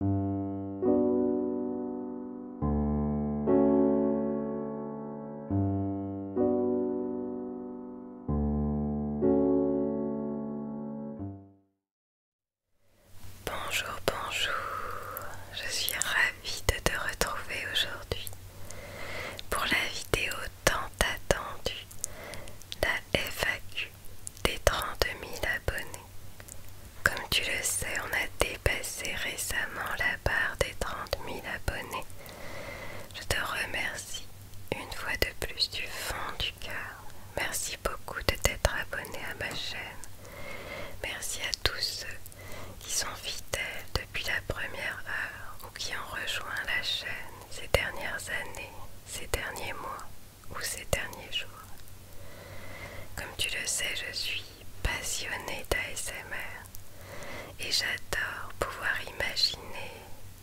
Bonjour, bonjour, je suis ravie de te retrouver aujourd'hui pour la vidéo tant attendue, la FAQ des 30 000 abonnés. Comme tu le sais, on a dépassé récemment la barre des 30 000 abonnés. Je te remercie une fois de plus du fond du cœur. Merci beaucoup de t'être abonné à ma chaîne. Merci à tous ceux qui sont fidèles depuis la première heure ou qui ont rejoint la chaîne ces dernières années, ces derniers mois ou ces derniers jours. Comme tu le sais, je suis passionnée d'ASMR et j'adore pouvoir imaginer,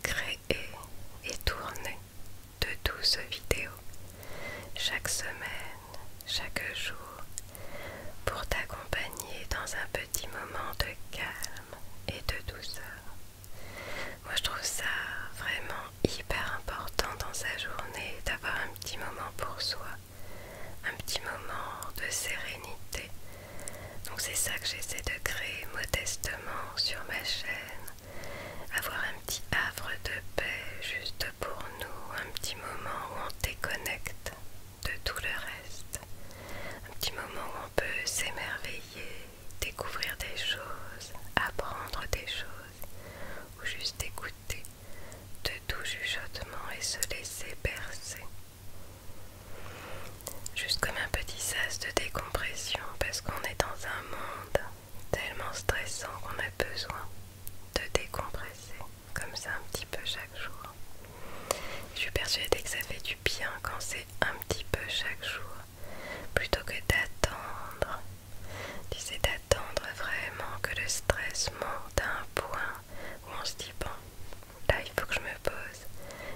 créer et tourner de douces vidéos chaque semaine, chaque jour pour t'accompagner dans un petit moment de calme et de douceur. Moi je trouve ça vraiment hyper important dans sa journée d'avoir un petit moment pour soi, un petit moment de sérénité. Donc c'est ça que j'essaie de créer modestement sur ma chaîne, avoir un petit havre de paix juste pour nous, un petit moment où on déconnecte de tout le reste, un petit moment où on peut s'émerveiller, découvrir des choses, apprendre des choses ou juste écouter de tout chuchotement et se laisser bercer. Juste comme un petit sas de décompression parce qu'on est dans un monde tellement stressant qu'on a besoin de décompresser comme ça un petit peu chaque jour. Je suis persuadée que ça fait du bien quand c'est un petit peu chaque jour plutôt que d'attendre c'est d'attendre vraiment que le stress monte à un point où on se dit bon, là il faut que je me pose.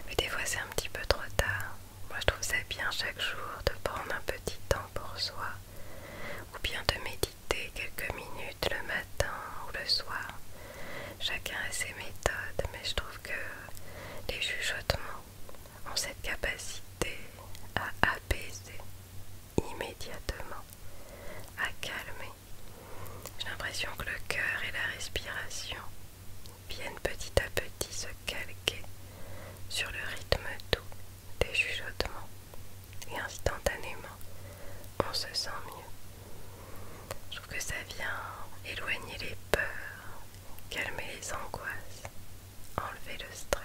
Mais des fois c'est un petit peu trop tard. Moi je trouve ça bien chaque jour de prendre un petit temps pour soi ou bien de méditer quelques minutes le matin ou le soir. Chacun a ses méthodes, mais je trouve que les chuchotements ont cette capacité à apaiser immédiatement à calmer. J'ai l'impression que le cœur et la respiration viennent petit à petit se calquer sur le rythme doux des chuchotements et instantanément on se sent mieux. Je trouve que ça vient éloigner les peurs, calmer les angoisses, enlever le stress.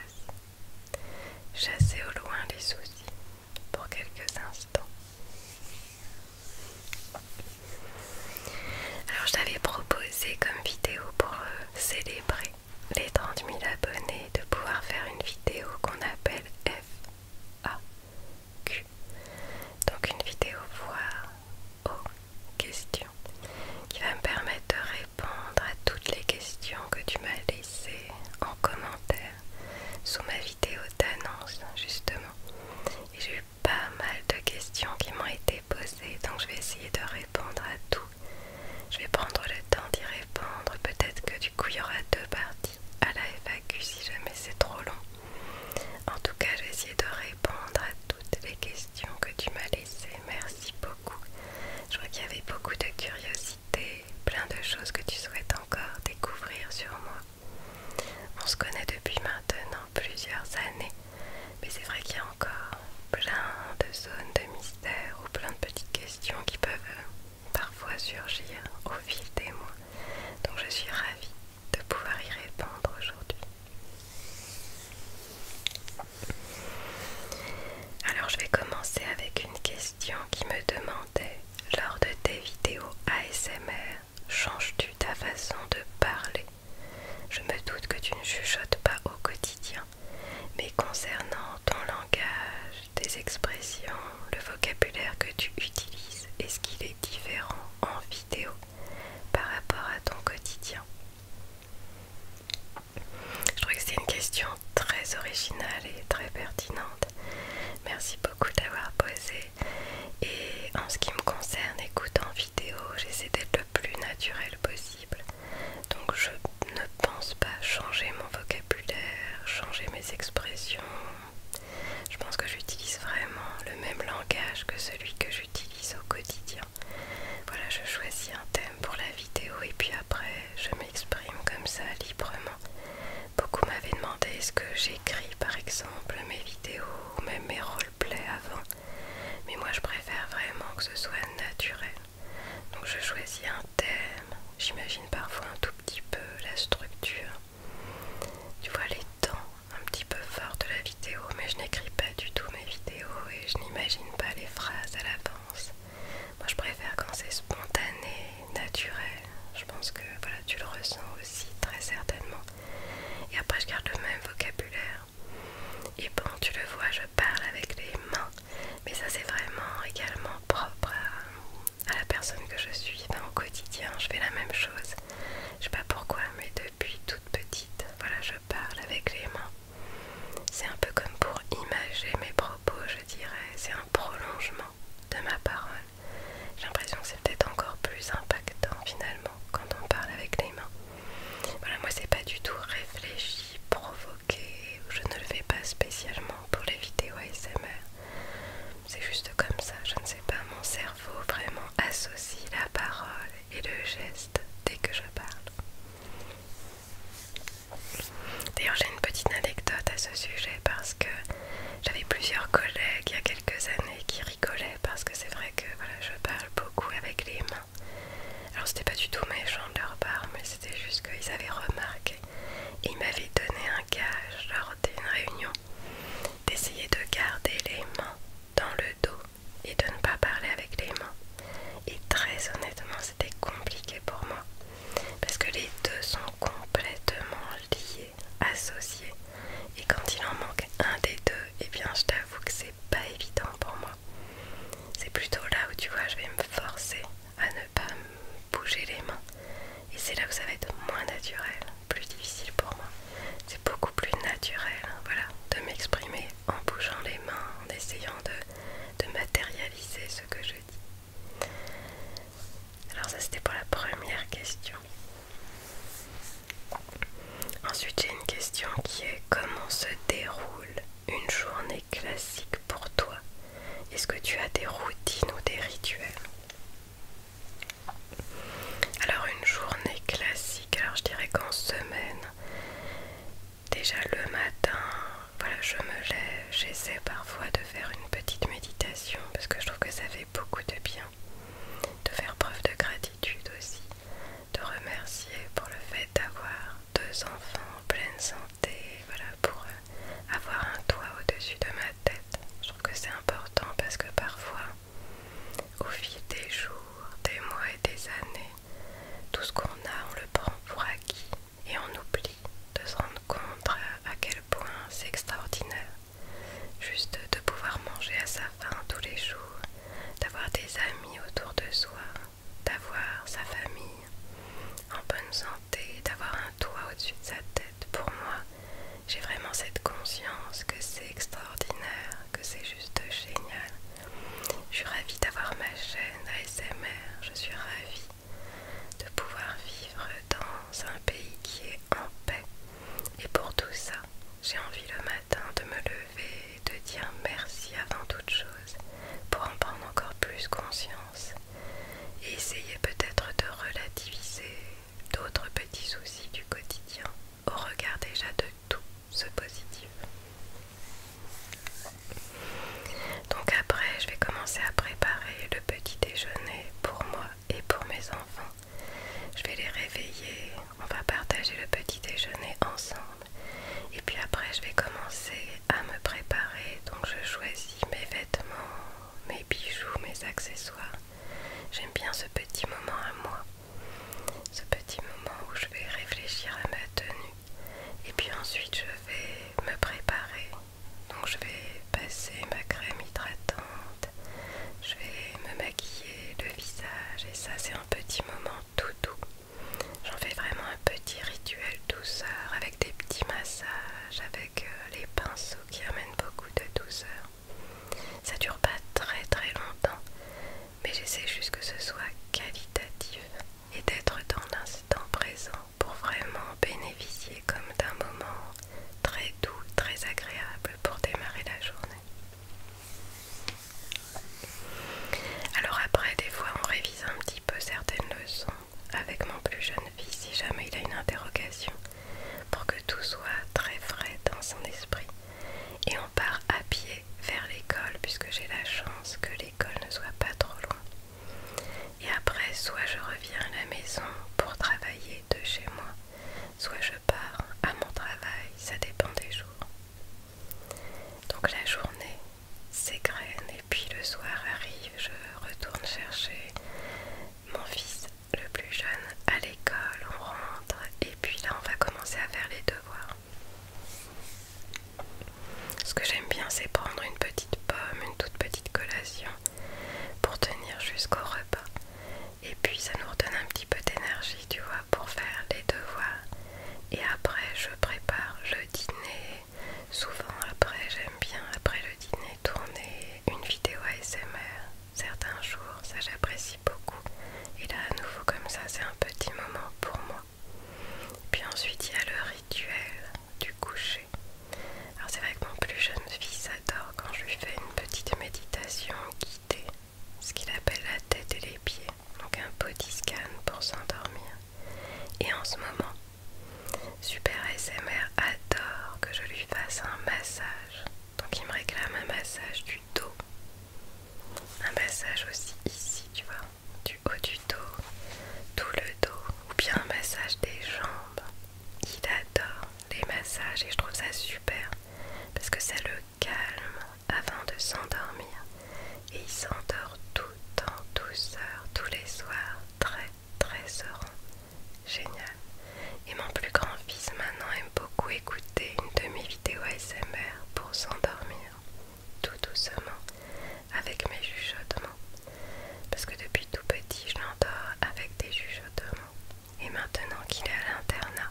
Chasser au loin les soucis pour quelques instants. Alors je t'avais proposé comme vidéo pour euh, célébrer les 30 000 abonnés de pouvoir faire une vidéo qu'on appelle FAQ. Donc une vidéo voir aux questions qui va me permettre de répondre à toutes les questions que tu m'as laissées en commentaire sous ma vidéo d'annonce justement. Et j'ai eu pas mal de questions qui m'ont été posées, donc je vais essayer de répondre à tout. Je vais prendre le temps d'y répondre, peut-être que du coup il y aura deux parties à la FAQ si jamais c'est trop long. En tout cas, j'ai de répondre à toutes les questions que tu m'as laissées. Merci beaucoup. Je vois qu'il y avait beaucoup de curiosité plein de choses que tu souhaites encore découvrir sur moi. On se connaît depuis maintenant plusieurs années, mais c'est vrai qu'il y a encore plein de zones de mystère ou plein de petites questions qui peuvent parfois surgir au fil des mois. Donc je suis ravie de pouvoir y répondre aujourd'hui. Alors je vais commencer avec une question qui me demandait lors de tes vidéos ASMR, changes-tu ta façon de parler Je me doute que tu ne chuchotes pas au quotidien, mais concernant ton langage, tes expressions, le vocabulaire que tu utilises, est-ce qu'il est différent en vidéo par rapport à ton quotidien je trouve que c'est une question très originale et très pertinente. Merci beaucoup d'avoir posé. Et en ce qui me concerne, écoute en vidéo, j'essaie d'être le plus naturel possible. Donc je ne pense pas changer mon vocabulaire, changer mes expressions. Je pense que j'utilise vraiment le même langage que celui que j'utilise au quotidien. Voilà, je choisis un thème pour la vidéo et puis après je m'exprime comme ça librement. Beaucoup m'avaient demandé est-ce que j'écris par exemple mes vidéos ou même mes roleplays avant. Mais moi je préfère vraiment que ce soit naturel. Donc je choisis un thème, j'imagine parfois un tout petit peu la structure. Tu vois les temps un petit peu forts de la vidéo, mais je n'écris pas du tout mes vidéos et je n'imagine pas les phrases à l'avance. Moi je préfère quand c'est spontané, naturel. Je pense que voilà, tu le ressens aussi très certainement. Et après je garde le même vocabulaire. Et bon, tu le vois, je parle avec les mains. Mais ça c'est vraiment également propre à, la personne que je suis. dans au quotidien, je fais la même chose. Je sais pas pourquoi, mais depuis toute petite, voilà, je parle avec les mains. C'est un peu comme pour imager mes propos, je dirais. C'est un prolongement de ma parole. J'ai l'impression que c'est peut-être encore plus impactant finalement quand on parle avec les mains. Voilà, moi c'est pas du tout réfléchi, provoqué, je ne le fais pas spécialement pour les vidéos ASMR. C'est juste comme ça, je ne sais pas, mon cerveau vraiment associe la parole et le geste dès que je parle. D'ailleurs, j'ai une petite anecdote à ce sujet parce que j'avais plusieurs collègues il y a quelques années qui rigolaient parce que c'est vrai que je parle beaucoup avec les mains. Alors, c'était pas du tout méchant de leur part, mais c'était juste qu'ils avaient remarqué ils m'avaient donné un gage lors d'une réunion d'essayer de garder les mains dans le dos et de ne pas parler avec les mains. Et très honnêtement, c'était compliqué pour moi parce que les deux sont complètement liés, associés. Et quand il en manque un des deux, et eh bien je t'avoue que c'est pas évident pour moi. C'est plutôt là où tu vois, je vais me forcer à ne pas bouger les mains. Et c'est là où ça va être moins naturel, plus difficile pour moi. C'est beaucoup plus naturel, voilà, de m'exprimer en bougeant les mains, en essayant de matérialiser ce que je dis. Alors ça c'était pour la première question. Ensuite j'ai une question qui est comment se déroule une journée classique pour toi Est-ce que tu as des routines ou des rituels Alors une journée classique, alors je dirais qu'en semaine, déjà le matin, voilà, je me lève, j'essaie parfois de faire une petite méditation parce que je trouve que ça fait beaucoup de bien, de faire preuve de gratitude aussi, de remercier pour le fait d'avoir deux enfants en pleine santé, voilà, pour euh, avoir un toit au-dessus de ma tête. Je trouve que c'est important parce que parfois, au fil des jours, des mois et des années, tout ce qu'on a, on le prend pour acquis et on oublie de se rendre compte à quel point c'est extraordinaire juste de pouvoir manger à sa faim tous les jours, d'avoir des amis autour de soi, d'avoir sa famille en bonne santé, d'avoir un toit au-dessus de sa tête. Pour moi, j'ai vraiment cette conscience que c'est extraordinaire, que c'est juste génial. Je suis ravie d'avoir ma chaîne ASMR, je suis ravie de pouvoir vivre dans un pays qui est en paix. Et pour tout ça, j'ai envie le matin de me lever et de dire merci avant toute chose pour en prendre encore plus conscience et essayer peut-être de relativiser d'autres petits soucis du quotidien au regard déjà de tout ce positif. Donc après, je vais commencer à préparer le petit déjeuner pour moi et pour mes enfants. Je vais les réveiller, on va partager le petit déjeuner ensemble. Et puis après, je vais commencer à me préparer. Donc je choisis mes vêtements, mes bijoux, mes accessoires. J'aime bien ce petit moment à moi. Ce petit moment où je vais réfléchir à ma tenue, et puis ensuite, je vais me préparer. Donc, je vais passer ma crème hydratante, je vais me maquiller le visage. Et ça, c'est un petit moment tout doux. J'en fais vraiment un petit rituel douceur avec des petits massages, avec euh, les pinceaux qui amènent beaucoup de douceur. Ça dure pas très très longtemps, mais j'essaie juste que ce soit qualitatif et d'être dans l'instant présent pour vraiment bénéficier comme d'un moment très doux, très agréable pour démarrer la journée. Alors après, des fois, on révise un petit peu certaines leçons avec mon plus jeune fils si jamais il a une interrogation pour que tout soit très frais dans son esprit. Et on part à pied vers l'école puisque j'ai la chance que l'école ne soit pas trop loin. Et après, soit je reviens à la maison pour travailler de chez moi, soit je pars à mon travail, ça dépend des jours. Donc la journée s'égrène et puis le soir arrive, je retourne chercher mon fils le plus jeune à l'école, on rentre et puis là on va commencer à faire les devoirs. Ce que j'aime bien, c'est prendre une petite pomme, une toute petite collation pour tenir jusqu'au repas. Et puis ça nous redonne un petit peu d'énergie, tu vois, pour faire les devoirs. Et après, je prépare le dîner. Souvent, après, j'aime bien, après le dîner, tourner une vidéo ASMR. Certains jours, ça j'apprécie beaucoup. Et là, à nouveau, comme ça, c'est un petit moment pour moi. Puis ensuite il y a le rituel du coucher. Alors c'est vrai que mon plus jeune fils adore quand je lui fais une petite méditation guidée, ce qu'il appelle la tête et les pieds, donc un petit scan pour s'endormir. Et en ce moment, Super SMR adore que je lui fasse un massage, donc il me réclame un massage du dos, un massage aussi ici, tu vois du haut du dos, tout le dos ou bien un massage des jambes. Il adore les massages et je trouve ça super parce que ça le calme avant de s'endormir et il s'endort tout en douceur tous les soirs très très serein. Génial. Et mon plus grand fils maintenant aime beaucoup écouter une de mes vidéos ASMR pour s'endormir tout doucement avec mes chuchotements. Parce que depuis tout petit, je l'endors avec des chuchotements. Et maintenant qu'il est à l'internat,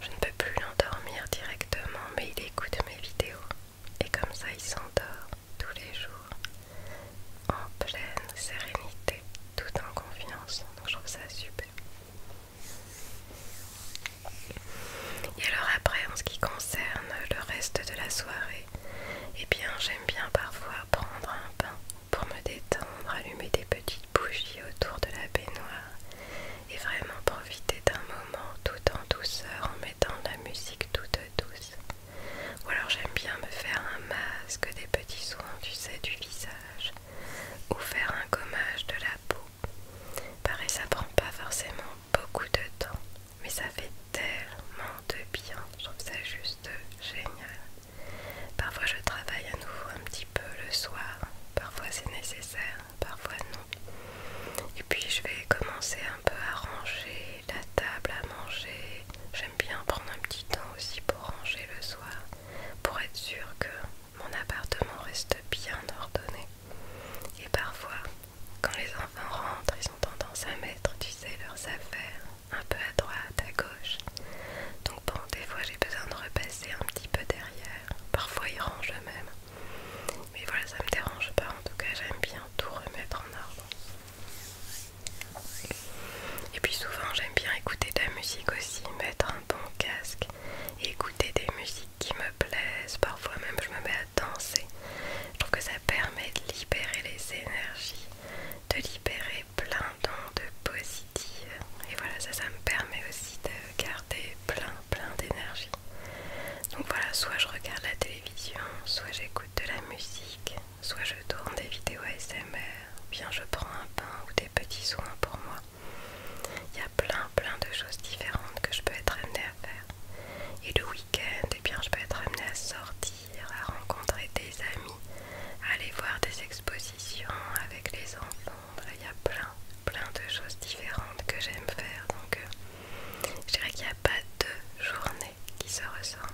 je ne peux plus l'endormir directement, mais il écoute mes vidéos. Et comme ça, il s'endort tous les jours, en pleine sérénité, tout en confiance. Donc je trouve ça super. Et alors après, en ce qui concerne le reste de la soirée, et eh bien j'aime bien parfois prendre un pain pour me détendre, allumer des petites bougies autour de la baignoire et vraiment profiter d'un moment tout en douceur en mettant de la musique toute douce. Ou alors j'aime bien me faire un masque, des petits soins, tu sais, du visage, ou faire un gommage de la peau. Pareil, ça prend pas forcément beaucoup de temps, mais ça fait tellement de bien, je trouve ça juste génial. Parfois je travaille à nouveau un petit peu le soir, parfois c'est nécessaire, parfois non. Et puis je vais commencer un peu à ranger la table à manger. J'aime bien prendre un petit temps aussi pour ranger le soir, pour être sûr que mon appartement reste bien ordonné. Et parfois, quand les enfants rentrent, ils ont tendance à mettre, tu sais, leurs affaires un peu à droite, à gauche. Donc bon, des fois j'ai besoin de repasser un petit peu derrière. Parfois ils rangent eux-mêmes. Mais voilà, ça me dérange pas. En tout cas, j'aime bien tout remettre en ordre. Et puis souvent, j'aime bien écouter de la musique aussi, mettre un bon casque, écouter des musiques qui me plaisent. Parfois même, je me mets à danser. Je trouve que ça permet de libérer les énergies, de libérer plein d'ondes positives. Et voilà, ça, me permet aussi de garder plein, plein d'énergie. Donc voilà, soit je regarde la télévision, soit j'écoute de la musique, soit je tourne des vidéos ASMR, ou bien je prends un pain ou des petits soins pour moi. Il y a plein plein de choses différentes que je peux être amenée à faire. Et le week-end eh bien je peux être amenée à sortir, à rencontrer des amis, à aller voir des expositions avec les enfants. il y a plein, plein de choses différentes que j'aime faire. Donc euh, je dirais qu'il n'y a pas de journée qui se ressemble.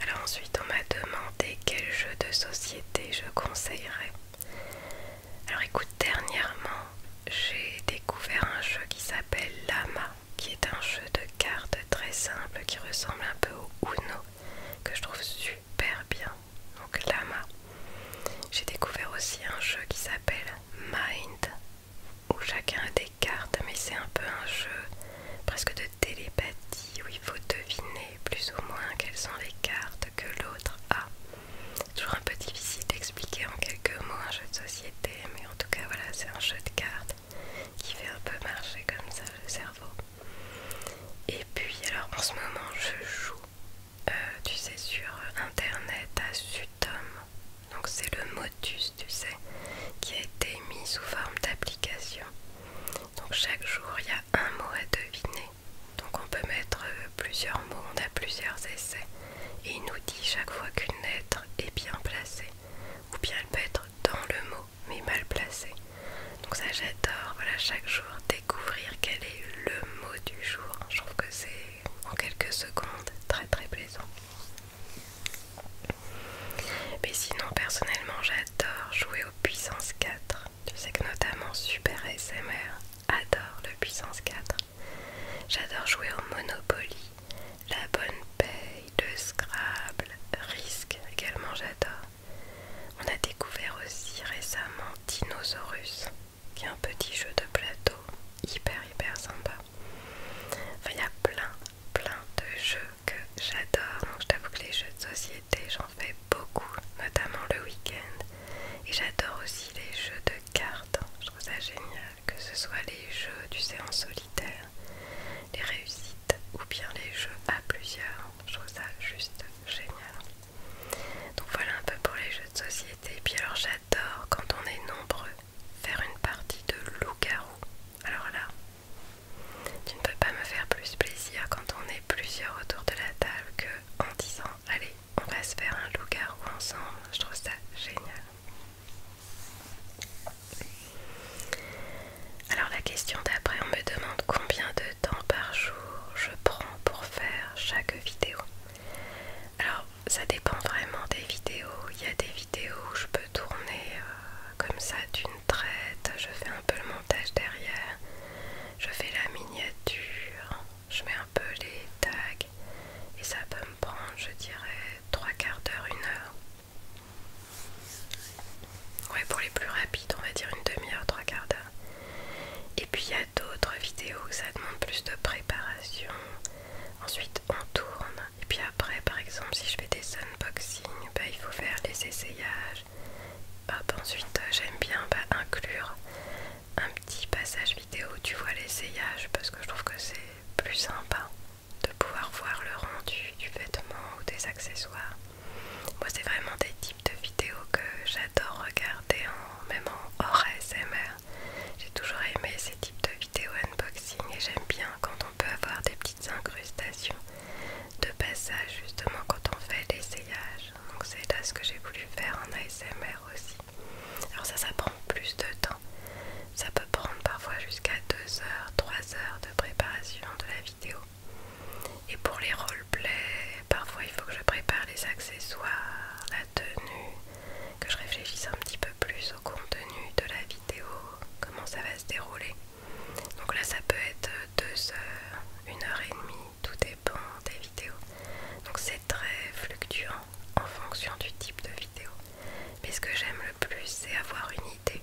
Alors ensuite on m'a demandé quel jeu de société je conseillerais. Alors écoute, dernièrement, j'ai découvert un jeu qui s'appelle Lama, qui est un jeu de cartes très simple qui ressemble un peu au Uno, que je trouve super bien. Donc Lama. J'ai découvert aussi un jeu qui s'appelle Mind, où chacun a des cartes, mais c'est un peu un jeu presque de télépathie, où il faut deviner plus ou moins quelles sont les cartes que l'autre a. C'est toujours un peu difficile d'expliquer en quelques mots un jeu de société, mais en tout cas voilà, c'est un jeu de cartes qui fait un peu marcher comme ça le cerveau. Et puis alors en ce moment je joue, euh, tu sais, sur internet à Sutom, donc c'est le Motus, tu sais, qui a été mis sous forme d'application. Donc chaque jour il y a un mot à deviner donc on peut mettre euh, plusieurs mots, on a plusieurs essais. Et il nous dit chaque fois qu'une lettre est bien placée. Ou bien elle peut être dans le mot, mais mal placée. Donc ça j'adore, voilà, chaque jour découvrir quel est le mot du jour. Je trouve que c'est en quelques secondes très très plaisant. Mais sinon personnellement j'adore jouer aux puissances 4. Tu sais que notamment Super SMR Adore le puissance 4. J'adore jouer au Monopoly, la bonne paye, le Scrabble, Risk également j'adore. On a découvert aussi récemment Dinosaurus, qui est un petit jeu de plateau hyper hyper sympa. Enfin, il y a plein plein de jeux que j'adore, donc je t'avoue que les jeux de société j'en fais beaucoup, notamment le week-end. Et j'adore aussi les jeux de cartes. Je trouve ça génial, que ce soit les jeux, du séance solitaire, les réussites ou bien les jeux à plusieurs. Je trouve ça juste génial. Donc voilà un peu pour les jeux de société. Et puis alors j'adore quand on est nombreux faire une partie de loup-garou. Alors là, tu ne peux pas me faire plus plaisir quand on est plusieurs autour de la table que en disant allez on va se faire un loup-garou ensemble, je trouve ça génial. Alors la question d'après, on me demande combien de temps par jour je prends pour faire chaque vidéo. Alors ça dépend vraiment des vidéos. Il y a des vidéos où je peux tourner euh, comme ça d'une traite, je fais un peu le montage derrière, je fais la miniature, je mets un peu les tags et ça peut me prendre je dirais trois quarts d'heure, une heure. Ouais pour les plus rapides on va dire une demi-heure, trois quarts d'heure. Et puis il y a d'autres vidéos ça demande plus de préparation. Ensuite on tourne. Et puis après par exemple si je fais des unboxing, bah, il faut faire les essayages. ensuite j'aime bien bah, inclure un petit passage vidéo tu vois l'essayage parce que je trouve que c'est plus sympa de pouvoir voir le rendu du vêtement ou des accessoires. Moi c'est vraiment des types de vidéos que j'adore regarder même en hors ASMR. J'ai toujours aimé ces types de vidéos unboxing et j'aime bien quand on peut avoir des petites incrustations de passage justement quand on fait l'essayage. Donc c'est là ce que j'ai voulu faire en ASMR aussi. Alors ça, ça prend plus de temps. Ça peut prendre parfois jusqu'à 2 heures, 3 heures de préparation de la vidéo. Et pour les roleplays, parfois il faut que je prépare les accessoires, la tenue, que je réfléchisse un petit peu plus au contenu de la vidéo, comment ça va se dérouler. Donc là, ça peut être deux heures, 1 heure et demie, tout dépend des donc c'est très fluctuant en fonction du type de vidéo. Mais ce que j'aime le plus, c'est avoir une idée.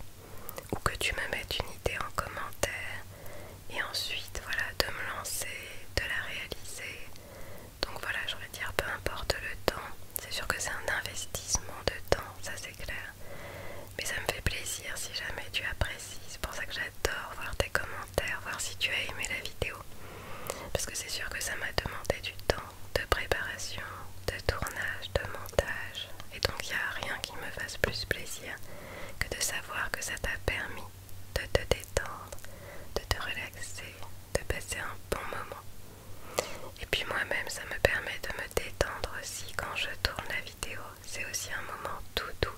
Ou que tu me mettes une idée en commentaire. Et ensuite, voilà, de me lancer, de la réaliser. Donc voilà, je vais dire, peu importe le temps. C'est sûr que c'est un investissement de temps, ça c'est clair. Mais ça me fait plaisir si jamais tu apprécies. C'est pour ça que j'adore voir tes commentaires, voir si tu as aimé la vidéo. Parce que c'est sûr que ça m'a demandé du temps de préparation, de tournage, de montage. Et donc il n'y a rien qui me fasse plus plaisir que de savoir que ça t'a permis de te détendre, de te relaxer, de passer un bon moment. Et puis moi-même, ça me permet de me détendre aussi quand je tourne la vidéo. C'est aussi un moment tout doux,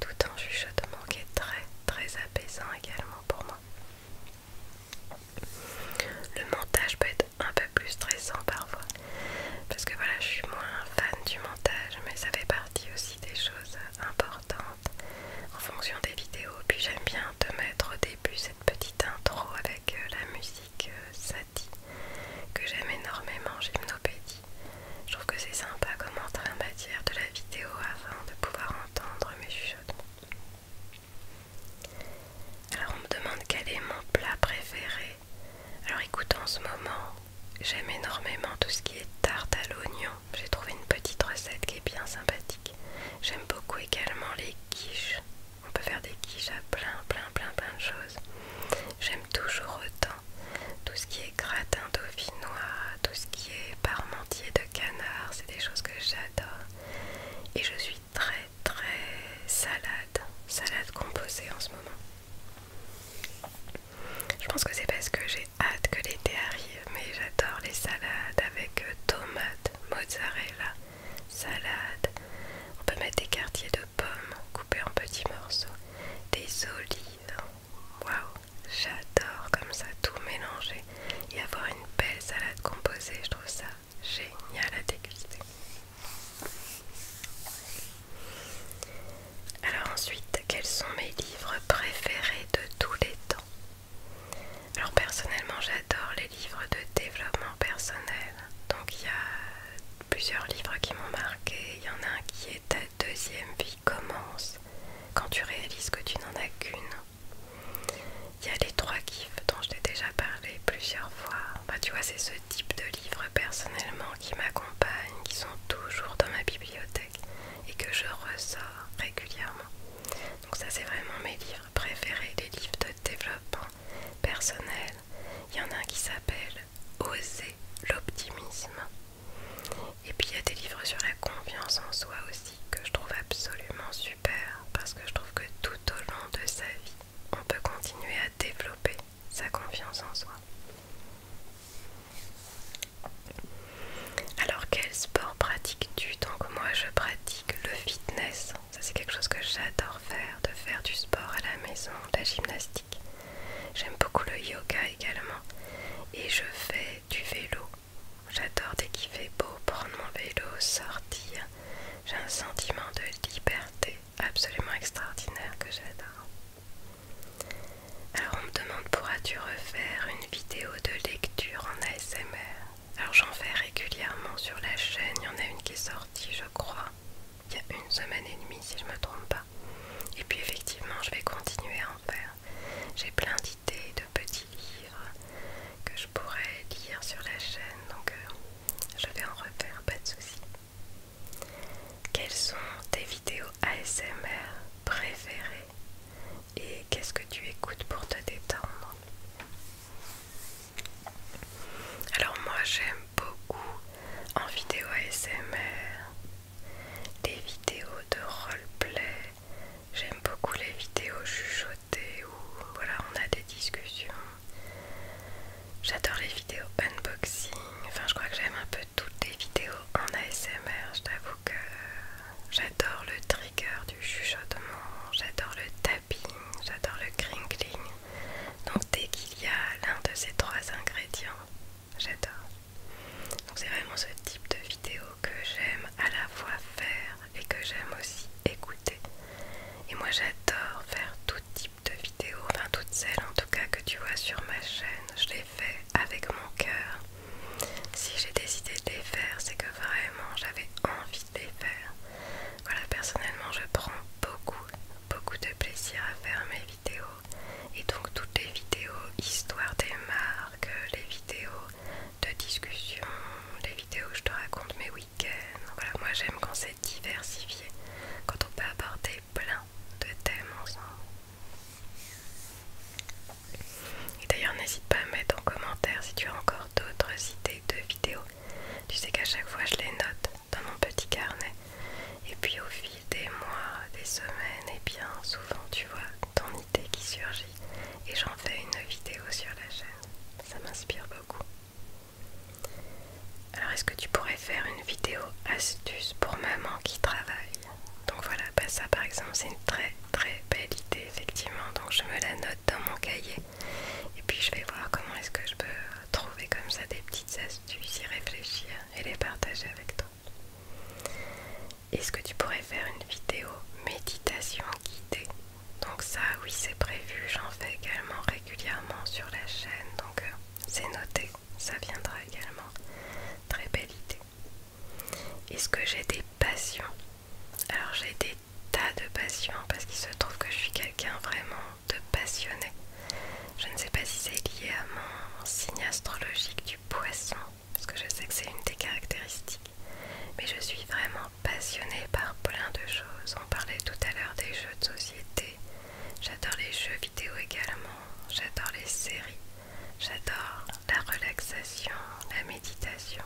tout en chuchotement qui est très très apaisant également pour moi. Le montage peut être un peu plus stressant parfois, parce que voilà, je suis moins fan du montage, mais ça fait partie aussi des choses importantes en fonction des vidéos. Puis j'aime bien te mettre au début cette petite intro avec euh, la musique euh, Sati que j'aime énormément, Gymnopédie. Je trouve que c'est sympa comme entrée en matière de la vidéo afin de pouvoir entendre mes alors on me demande quel est mon plat préféré. Alors écoute, en ce moment, j'aime énormément tout ce qui est tarte à l'oignon. J'ai trouvé une petite recette qui est bien sympathique. J'aime beaucoup également les quiches. On peut faire des quiches à plein, plein, plein, plein de choses. J'aime toujours autant tout ce qui est gratin dauphinois, tout ce qui est parment de canard, c'est des choses que j'adore. Et je suis très très salade, salade composée en ce moment. Je pense que c'est parce que j'ai hâte que l'été arrive, mais j'adore les salades avec euh, tomates, mozzarella, salade. On peut mettre des quartiers de pommes coupés en petits morceaux, des olives. Waouh, J'adore comme ça tout mélanger et avoir une belle salade composée. Je trouve ça génial à déguster. Alors ensuite, quels sont mes livres préférés de tous les temps Alors personnellement, j'adore les livres de développement personnel. Donc il y a plusieurs livres qui m'ont marqué. Il y en a un qui est ta deuxième vie commence quand tu réalises que tu n'en as qu'une. Il y a les trois kiffs dont je t'ai déjà parlé plusieurs fois. Bah, tu vois, c'est ce type de livres personnellement qui m'accompagnent, qui sont toujours dans ma bibliothèque et que je ressors régulièrement. Donc ça c'est vraiment mes livres préférés, les livres de développement personnel. Il y en a un qui s'appelle Oser l'optimisme. Et puis il y a des livres sur la confiance en soi aussi que je trouve absolument super parce que je trouve que tout au long de sa vie, on peut continuer à développer sa confiance en soi. Alors quel sport pratiques-tu Donc moi je pratique le fitness. Ça c'est quelque chose que j'adore faire, de faire du sport à la maison, de la gymnastique. J'aime beaucoup le yoga également. Et je fais du vélo J'adore dès qu'il fait beau prendre mon vélo, sortir. J'ai un sentiment de liberté absolument extraordinaire que j'adore. Alors on me demande pourras-tu refaire une vidéo de lecture en ASMR Alors j'en fais régulièrement sur la chaîne, il y en a une qui est sortie je crois il y a une semaine et demie si je ne me trompe pas. Et puis effectivement je vais continuer à en faire. J'ai plein d'idées, de petits livres que je pourrais lire sur la chaîne, donc euh, je vais en refaire, pas de soucis. Quelles sont tes vidéos ASMR préférées et qu'est-ce que tu écoutes pour te détendre Alors moi j'aime beaucoup en vidéo ASMR des vidéos de roleplay, J'aime beaucoup les vidéos chuchotées où voilà, on a des discussions. J'adore les vidéos unboxing. Enfin, je crois que j'aime un peu toutes les vidéos en ASMR. Je t'avoue que j'adore le trigger du chuchotement, j'adore le tapping, j'adore le crinkling. Donc, dès qu'il y a l'un de ces trois ingrédients, j'adore. Donc, c'est vraiment ce type de vidéo que j'aime à la fois faire et que j'aime aussi écouter. Et moi j'adore faire tout type de vidéos, enfin toutes celles en tout cas que tu vois sur ma chaîne. Je les fais avec mon cœur. Si j'ai décidé de les faire, c'est que vraiment j'avais envie de les faire. Voilà, personnellement je prends beaucoup, beaucoup de plaisir à faire mes vidéos. Et donc toutes les vidéos, histoire des marques, les vidéos de discussions, des vidéos où je te raconte mes week-ends. Voilà, moi j'aime quand c'est diversifié, quand on peut aborder plein de thèmes ensemble. Et d'ailleurs, n'hésite pas à mettre en commentaire si tu as encore d'autres idées de vidéos. Tu sais qu'à chaque fois je les note dans mon petit carnet. Et puis au fil des mois, des semaines, et bien souvent tu vois, qui surgit et j'en fais une vidéo sur la chaîne. Ça m'inspire beaucoup. Alors est-ce que tu pourrais faire une vidéo astuce pour maman qui travaille Donc voilà, bah ça par exemple c'est une très très belle idée effectivement. Donc je me la note dans mon cahier et puis je vais voir comment est-ce que je peux trouver comme ça des petites astuces, y réfléchir et les partager avec toi. Est-ce que tu pourrais faire une vidéo méditation guidée Donc ça oui c'est prévu, j'en fais également régulièrement sur la chaîne, donc euh, c'est noté, ça viendra également. Très belle idée. Est-ce que j'ai des passions Alors j'ai des tas de passions parce qu'il se trouve que je suis quelqu'un vraiment de passionné. Je ne sais pas si c'est lié à mon signe astrologique du poisson parce que je sais que c'est une des caractéristiques. Mais je suis vraiment passionnée par plein de choses. On parlait tout à l'heure des jeux de société. J'adore les jeux vidéo également. J'adore les séries. J'adore la relaxation, la méditation.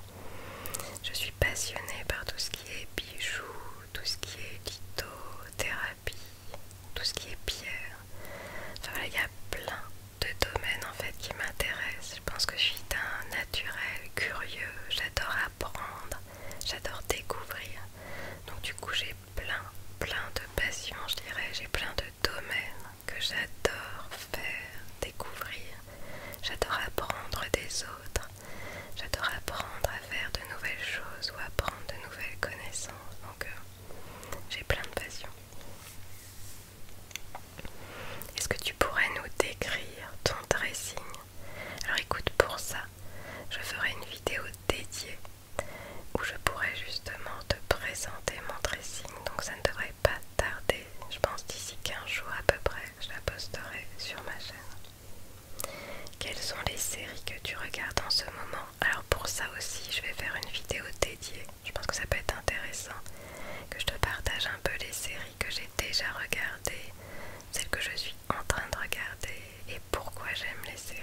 Je suis passionnée par tout ce qui est bijoux, tout ce qui est lithothérapie, tout ce qui est pierre. Enfin voilà, il y a plein de domaines en fait qui m'intéressent. Je pense que je suis un naturel curieux, j'adore apprendre, j'adore découvrir. Donc du coup j'ai plein, plein de passions, je dirais, j'ai plein de domaines que j'adore faire, découvrir. J'adore apprendre des autres, j'adore apprendre à faire de nouvelles choses ou apprendre de nouvelles connaissances. Donc euh, j'ai plein de passions. Est-ce que tu pourrais nous décrire ton dressing Alors écoute, pour ça, je ferai une vidéo dédiée où je pourrai justement te présenter mon dressing. Donc ça ne devrait pas tarder. Je pense d'ici 15 jours à peu près, je la posterai sur ma chaîne. Quelles sont les séries que tu regardes en ce moment Alors pour ça aussi, je vais faire une vidéo dédiée je pense que ça peut être intéressant que je te partage un peu les séries que j'ai déjà regardées, celles que je suis en train de regarder et pourquoi j'aime les séries.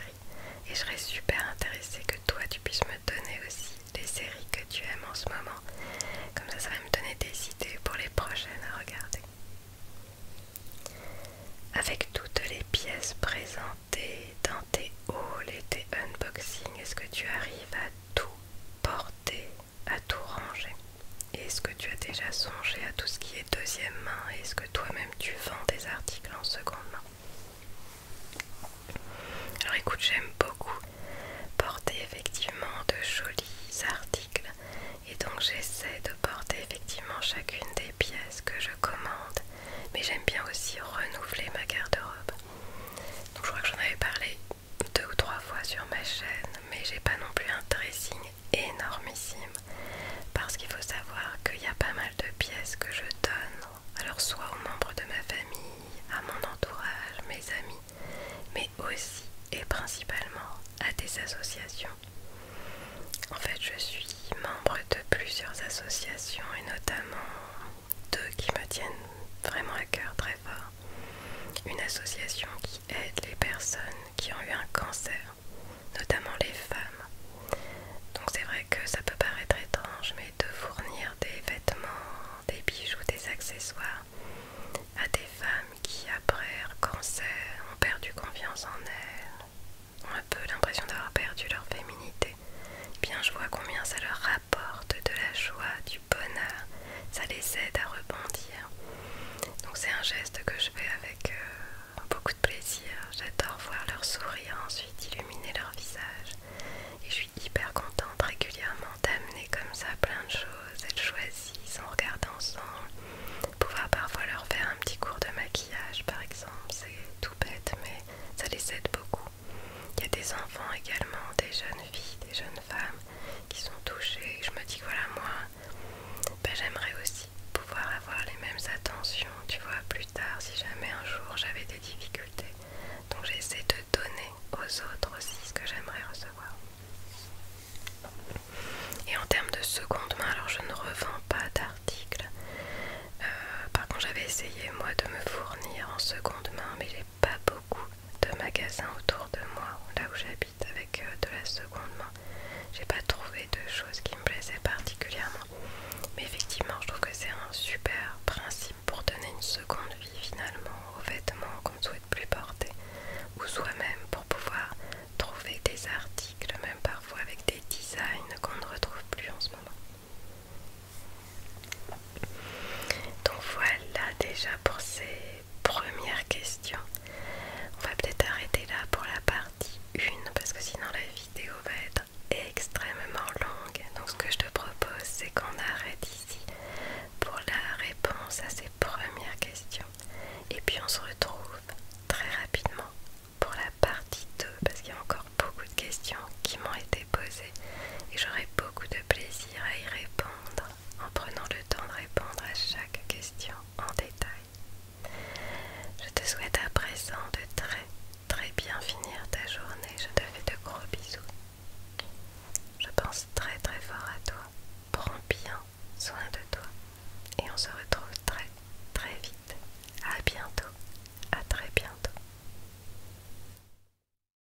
Et je serais super intéressée que toi tu puisses me donner aussi les séries que tu aimes en ce moment. Comme ça, ça va me donner des idées pour les prochaines à regarder. Avec toutes les pièces présentées dans tes hauls et tes unboxings, est-ce que tu arrives à tout porter, à tout ranger. Est-ce que tu as déjà songé à tout ce qui est deuxième main Est-ce que toi-même tu vends des articles en seconde main Alors écoute, j'aime beaucoup porter effectivement de jolis articles et donc j'essaie de porter effectivement chacune des pièces que je commande. Mais j'aime bien aussi renouveler ma garde-robe. Donc je crois que j'en avais parlé deux ou trois fois sur ma chaîne, mais j'ai pas non plus un dressing énormissime parce qu'il faut savoir qu'il y a pas mal de pièces que je donne, alors soit aux membres de ma famille, à mon entourage, mes amis, mais aussi et principalement à des associations. En fait, je suis membre de plusieurs associations et notamment deux qui me tiennent vraiment à cœur très fort. Une association qui aide les personnes qui ont eu un cancer, notamment les femmes. Donc c'est vrai que ça peut paraître étrange, mais de fournir des vêtements, des bijoux, des accessoires à des femmes qui après un cancer ont perdu confiance en elles, ont un peu l'impression d'avoir perdu leur féminité. Eh bien je vois combien ça leur porte de la joie, du bonheur, ça les aide à rebondir. Donc c'est un geste que je fais avec euh, beaucoup de plaisir. J'adore voir leur sourire ensuite illuminer leur visage. Et je suis hyper contente régulièrement d'amener comme ça plein de choses. Elles choisissent, on regarde ensemble. Pouvoir parfois leur faire un petit cours de maquillage par exemple, c'est tout bête mais ça les aide beaucoup. Il y a des enfants également, des jeunes filles, des jeunes femmes qui sont touchées. Je me dis voilà, moi, ben, j'aimerais aussi pouvoir avoir les mêmes attentions, tu vois, plus tard, si jamais un jour j'avais des difficultés. Donc j'essaie de donner aux autres aussi ce que j'aimerais recevoir. Et en termes de seconde main, alors je ne revends pas d'articles. Euh, par contre, j'avais essayé moi de me fournir en seconde main, mais j'ai pas beaucoup de magasins autour de moi, là où j'habite, avec euh, de la seconde main. J'ai pas trouvé de choses qui me plaisaient particulièrement. Mais effectivement, je trouve que c'est un super principe pour donner une seconde vie finalement aux vêtements qu'on ne souhaite plus porter ou soi-même pour pouvoir trouver des articles, même parfois avec des designs qu'on ne retrouve plus en ce moment. Donc voilà déjà pour ces premières questions. On va peut-être arrêter là pour la partie 1 parce que sinon la vidéo va être extrêmement longue. Donc ce que je te propose c'est qu'on arrête ici pour la réponse à ces premières questions. Et puis on se retrouve très rapidement pour la partie 2 parce qu'il y a encore beaucoup de questions qui m'ont été posées et j'aurai beaucoup de plaisir à y répondre en prenant le temps de répondre à chaque question en détail. Je te souhaite à présent de très très bien finir ta journée. Je te fais de gros bisous. Je pense très très fort à toi. Prends bien soin de toi. Et on se retrouve très très vite. À bientôt. À très bientôt.